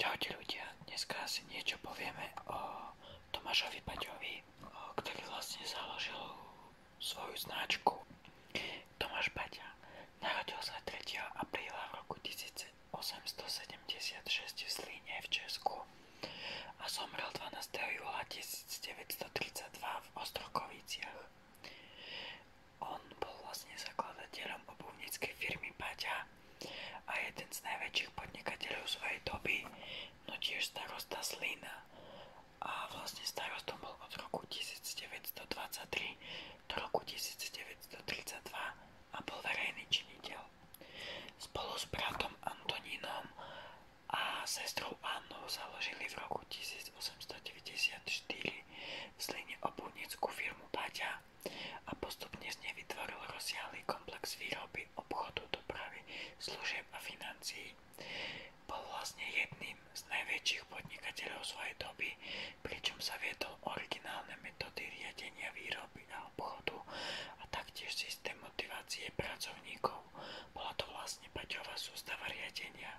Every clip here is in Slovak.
Čaute ľudia, dneska si niečo povieme o Tomášovi Paťovi, ktorý vlastne založil svoju značku. Tomáš Paťa narodil sa 3. apríla v roku 1876 v Zlíne v Česku a zomrel 12. júla 1932 v Ostrokoviciach. On bol vlastne zakladateľom obuvníckej firmy Paťa a jeden z najväčších podnikateľov svojej doby, no tiež Slina. A vlastne starostom od roku 1923 do roku 1932 a bol verejný Spolu s bratom Antonínom a sestrou Annou založili v roku 1894 v Sline firmu Paťa a postupne z nej vytvoril rozsiahly komplex výroby, obchodu, dopravy, služieb a financií. Bol vlastne jedným z najväčších podnikateľov svojej doby, pričom sa viedol originálne metódy riadenia výroby a obchodu a taktiež systém motivácie pracovníkov. Bola to vlastne Paťová sústava riadenia,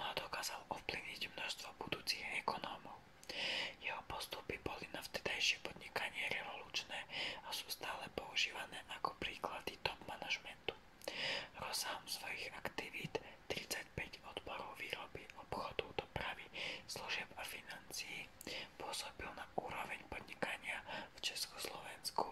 no a dokázal ovplyvniť množstvo budúcich ekonómov. Jeho postupy boli na vtedajšie podnikanie revolučné a sú stále používané ako príklady top manažmentu. Rozsahom svojich aktivít 35 odborov výroby, obchodu, dopravy, služieb a financií pôsobil na úroveň podnikania v Československu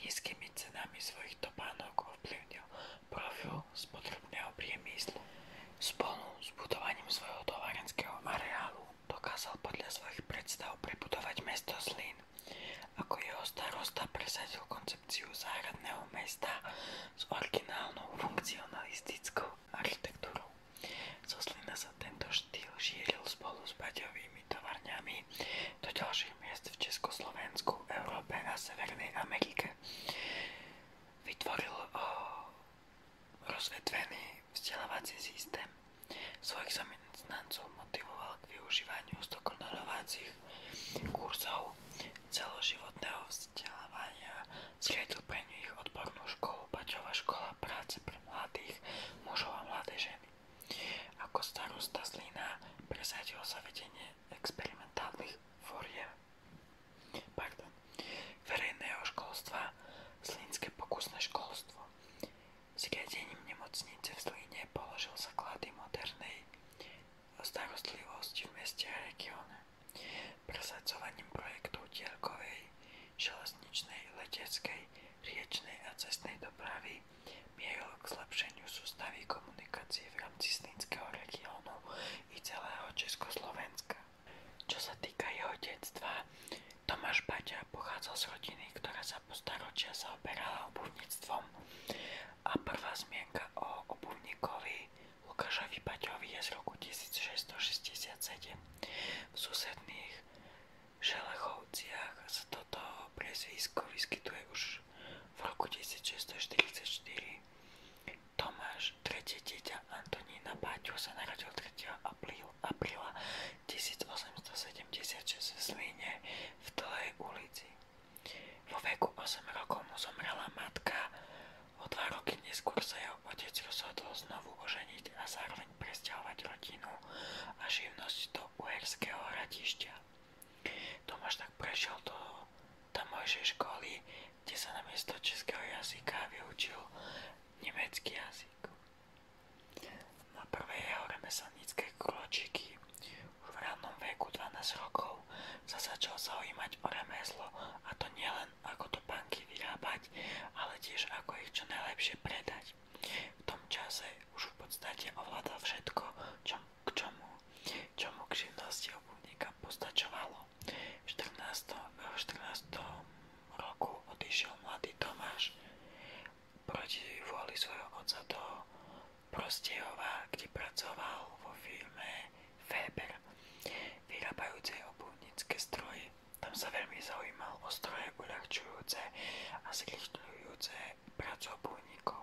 nízkymi cenami svojich topánok ovplyvnil profil spotrebného priemyslu. Spolu s budovaním svojho továrenského areálu dokázal podľa svojich predstav prebudovať mesto Zlín. Ako jeho starosta presadil koncepciu záhradného mesta s originálnou funkcionalistickou architektúrou. Zo Zlina sa tento štýl šíril spolu s baďovými tovarňami do ďalších miest v Československu, Európe a Severnej Amerike. Vytvoril Rozvetvený vzdelávací systém svojich zamestnancov motivoval k využívaniu stokonalovacích kurzov celoživotného vzdelávania zriedlbeniu ich odbornú školu Paťová škola práce pre mladých mužov a mladé ženy. Ako starosta Zlína sa vedenie experimentálnych foriem pardon, verejného školstva Zlínske pokusné školstvo. Zriadením nemocnice v Zlíne položil základy modernej starostlivosti v meste a regióne. Presadzovaním projektov dielkovej, železničnej, leteckej, riečnej a cestnej dopravy mieril k zlepšeniu sústavy komunikácie v rámci Zlínskeho regiónu i celého Československa. Čo sa týka jeho detstva, Tomáš Baťa pochádzal z rodiny, ktorá sa po staročia zaoberala obuvníctvom a prvá zmienka o obuvníkovi Lukášovi Baťovi je z roku 1667. V susedných šelechovciach sa toto prezvisko vyskytuje už v roku 1644. Tomáš, tretie dieťa Antonína Páťo narodil 3. apríla 1876 v v Tlej ulici. Vo veku 8 rokov mu zomrela matka, o 2 roky neskôr sa jeho otec rozhodol znovu oženiť a zároveň presťahovať rodinu a živnosť do uherského radišťa. Tomáš tak prešiel do tamojšej školy, kde sa namiesto českého jazyka vyučil nemecký jazyk. Na prvé jeho remeselnícke už v veku 12 rokov sa začal zaujímať o remeslo a to nielen ako to banky vyrábať, ale tiež ako ich čo najlepšie predať. V tom čase už v podstate ovládal všetko, čo, k čomu, čomu k živnosti obuvníka postačovalo. V 14. 14. roku odišiel mladý Tomáš proti vôli svojho otca do Prostejova, kde pracoval vo firme Weber, vyrábajúcej obuvnícke stroje. Tam sa veľmi zaujímal o stroje uľahčujúce a zrychľujúce prácu obuvníkov.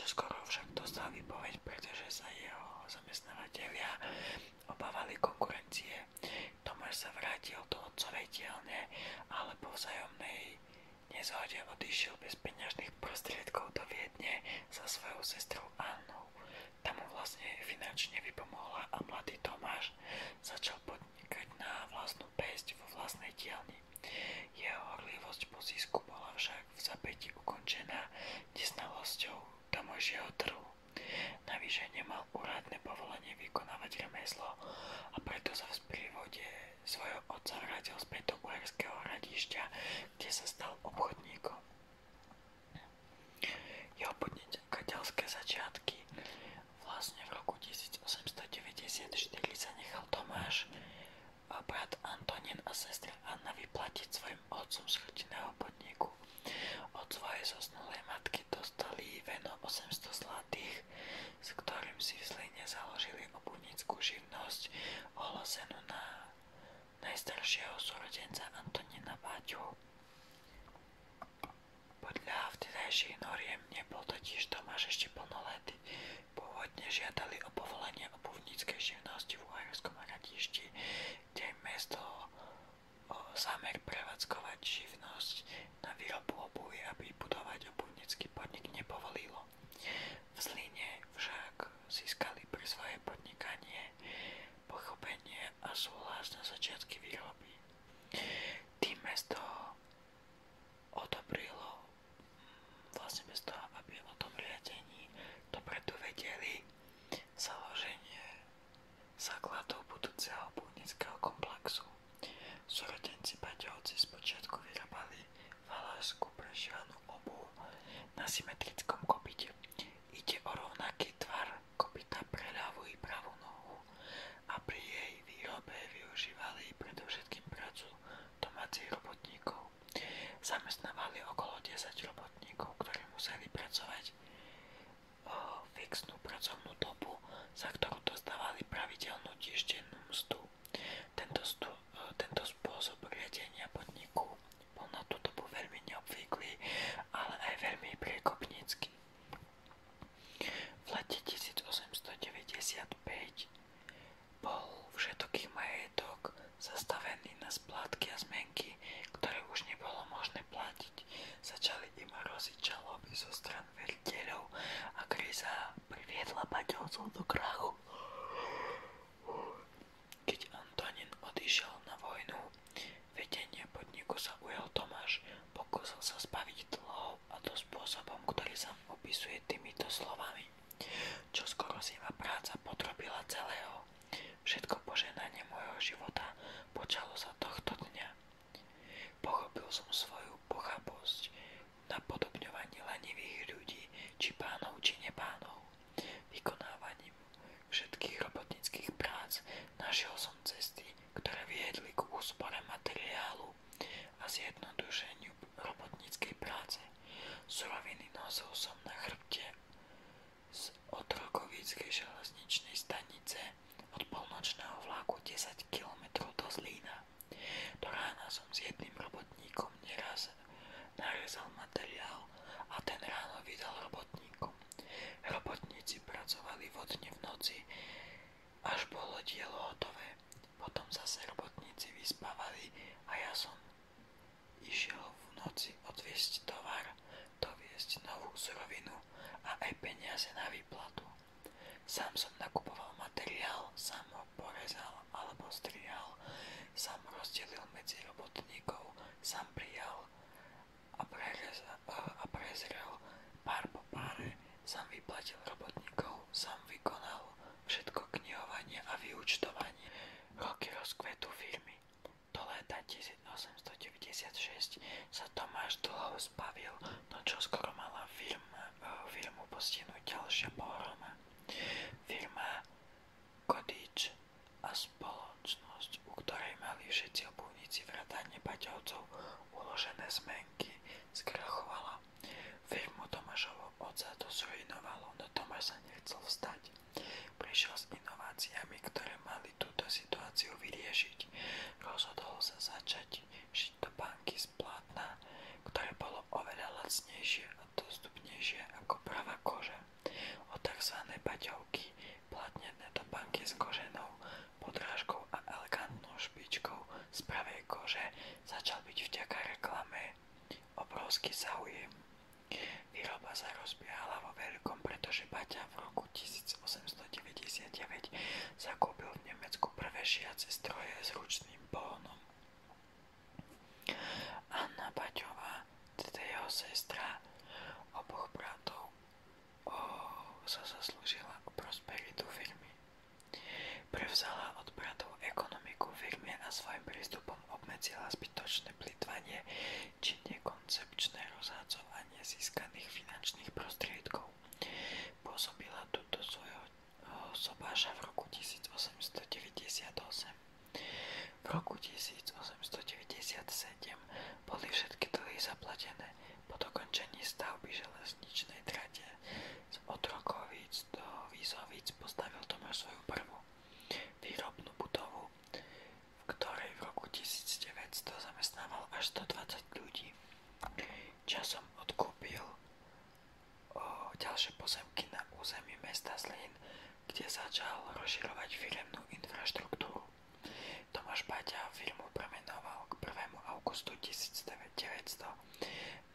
Čoskoro však dostal výpoveď, pretože sa jeho zamestnávateľia obávali konkurencie. Tomáš sa vrátil do otcovej dielne, ale po vzájomnej nezhode odišiel bez peňažných prostriedkov do Viedne za svojou sestrou Annou. Tam mu vlastne finančne vypomohla a mladý Tomáš začal podnikať na vlastnú pesť vo vlastnej dielni. Jeho horlivosť po zisku bola však v zapäti ukončená nesnalosťou tamojšieho trhu. Navyše nemal úradné povolenie vykonávať remeslo a preto sa v sprívode svojho otca vrátil späť do uherského hradišťa, kde sa stal obchodníkom. Jeho podnikateľské začiatky vlastne v roku 1894 sa nechal Tomáš, brat Antonín a sestra Anna vyplatiť svoje svojim otcom z rodinného podniku. Od svojej zosnulej matky dostali veno 800 zlatých, s ktorým si v Zlíne založili obuvníckú živnosť ohlásenú na najstaršieho súrodenca Antonina Váťu. Podľa vtedajších noriem nebol totiž Tomáš ešte plnoletý. Pôvodne žiadali o povolenie obuvníckej živnosti v Uhorskom radišti, kde im mesto zámer prevádzkovať živnosť na výrobu obuvy a vybudovať obuvnícky podnik nepovolilo. V Zlíne však získali pre svoje podnikanie pochopenie a súhlas na začiatky výroby. Tým mesto odobrilo, mm, vlastne bez toho, aby o tom riadení dopredu vedeli, založenie Základov budúceho búdnického komplexu. Súrodenci Paťovci spočiatku vyrábali valašskú prešivanú obu na symetrickom kopite. Ide o rovnaký tvar kopita pre ľavú i pravú nohu a pri jej výrobe využívali predovšetkým prácu domácich robotníkov. Zamestnávali okolo 10 robotníkov, ktorí museli pracovať Oh, fixnú pracovnú dobu, za ktorú dostávali pravidelnú týždennú mzdu. Tento, stu, eh, tento spôsob riadenia podniku bol na tú dobu veľmi neobvyklý, ale aj veľmi priekopnícky. V lete 1895 bol všetoký majetok zastavený na splátky a zmenky, ktoré už nebolo možné schopné platiť. Začali im hroziť žaloby zo stran veriteľov a kríza priviedla paťovcov do krachu. Keď Antonín odišiel na vojnu, vedenie podniku sa ujal Tomáš, pokusil sa zbaviť dlhov a to spôsobom, ktorý sa opisuje týmito slovami. Čo skoro zima práca potrobila celého. Všetko poženanie môjho života počalo sa tohto dňa. Pochopil som svoju pochabosť na podobňovaní lenivých ľudí, či pánov, či nepánov. Vykonávaním všetkých robotnických prác našiel som cesty, ktoré viedli k úspore materiálu a zjednodušeniu robotníckej práce. Suroviny nosil som na chrbte z Otrokovickej železničnej stanice od polnočného vlaku 10 km do Zlína. Do som s jedným robotníkom neraz narezal materiál a ten ráno vydal robotníkom. Robotníci pracovali vodne v noci, až bolo dielo hotové. Potom zase robotníci vyspávali a ja som išiel v noci odviesť tovar, doviesť novú surovinu a aj peniaze na výplatu. Sám som nakupoval materiál, sám ho porezal alebo strihal, sám rozdelil medzi robotníkov, sám prijal a, a prezrel pár po páre, sám vyplatil robotníkov, sám vykonal všetko knihovanie a vyúčtovanie. Roky rozkvetu firmy. Do leta 1896 sa Tomáš dlho zbavil, no čo skoro mala firma, eh, firmu postihnúť ďalšia pohroma. Firma Kodič a spoločnosť, u ktorej mali všetci obuvníci vrátane paťovcov uložené zmenky, skrachovala. Firmu Tomášovo otca to zrujnovalo, no Tomáš sa nechcel vstať. Prišiel s inováciami, ktoré mali túto situáciu vyriešiť. Rozhodol sa začať šiť do banky z plátna, ktoré bolo oveľa lacnejšie a dostupnejšie ako pravá koža. O tzv. paťovky platnené do banky s koženou, podrážkou a elegantnou špičkou z pravej kože začal byť vďaka reklame obrovský záujem. Výroba sa rozbiehala vo veľkom, pretože Baťa v roku roku 1899 zakúpil v Nemecku prvé šiace stroje s ručným pohonom. Anna Baťová, teda jeho sestra, oboch bratov, o, sa zaslúžila o prosperitu firmy. Prevzala od bratov ekonomiku firmy a svojim prístupom obmedzila zbytočné plitvanie či účinne koncepčné rozhádzovanie získaných finančných prostriedkov. Pôsobila túto svojho sobáša v roku 1898. V roku 1897 boli všetky dlhy zaplatené po dokončení stavby železničnej trate. Z Otrokovic do Vízovic postavil Tomáš svoju prvú výrobnú budovu, v ktorej v roku 1900 zamestnával až 120 ľudí. Časom odkúpil o ďalšie pozemky na území mesta Zlín, kde začal rozširovať firemnú infraštruktúru. Tomáš Baťa firmu premenoval k 1. augustu 1900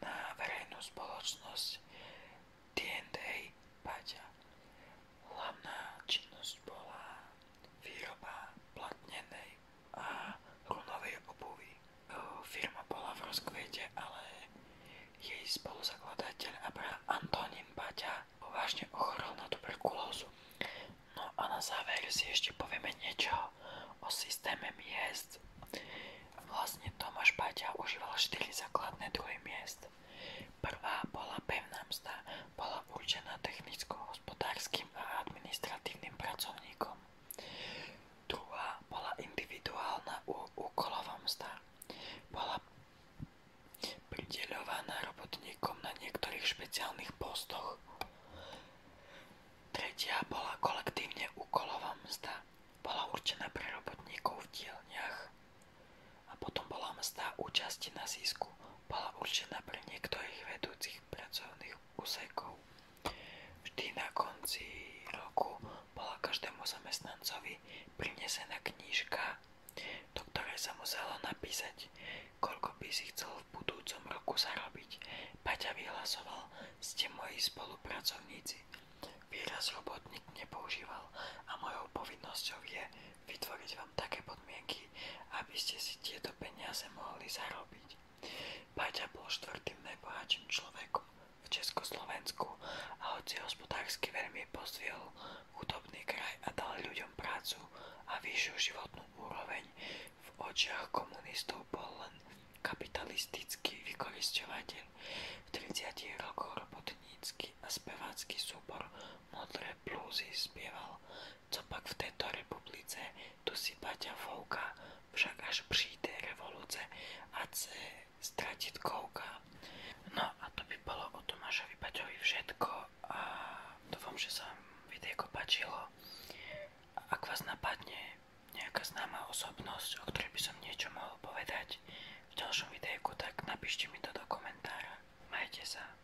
na verejnú spoločnosť D&A Baťa. Hlavná činnosť bola Výroba platnenej a runovej obuvy. Firma bola v rozkvete, ale jej spoluzakladateľ Abraham Antonín Baťa vážne ochorel na tuberkulózu. No a na záver si ešte povieme niečo o systéme miest. Vlastne Tomáš Baťa užíval 4 základné druhy miest. Prvá bola pevná mzda, bola určená technicko a administratívnym pracovníkom. Druhá bola individuálna úkolová mzda. Bola prideľovaná robotníkom na niektorých špeciálnych postoch. Tretia bola kolektívne úkolová mzda. Bola určená pre v dielniach. A potom bola mzda účasti na zisku bola vedúcich pracovných úsekov. Vždy na konci roku bola každému zamestnancovi prinesená knížka, do ktorej sa muselo napísať, koľko by si chcel v budúcom roku zarobiť. Paťa vyhlasoval, ste moji spolupracovníci. Výraz robotník nepoužíval a mojou povinnosťou je vytvoriť vám také podmienky, aby ste si tieto peniaze mohli zarobiť. Paťa bol štvrtým najbohatším človekom v Československu a hoci hospodársky veľmi pozdvihol chudobný kraj a dal ľuďom prácu a vyššiu životnú úroveň, v očiach komunistov bol len kapitalistický vykoristovateľ. V 30 rokoch robotnícky a spevácky súbor Modré plúzy spieval co pak v této republice, tu si Baťa fouká, však až přijde revoluce, ať se stratiť kouká. No a to by bolo o Tomášovi Baťovi všetko a dúfam, že sa vám videjko páčilo. Ak vás napadne nejaká známa osobnosť, o ktorej by som niečo mohol povedať v ďalšom videjku, tak napíšte mi to do komentára. Majte sa.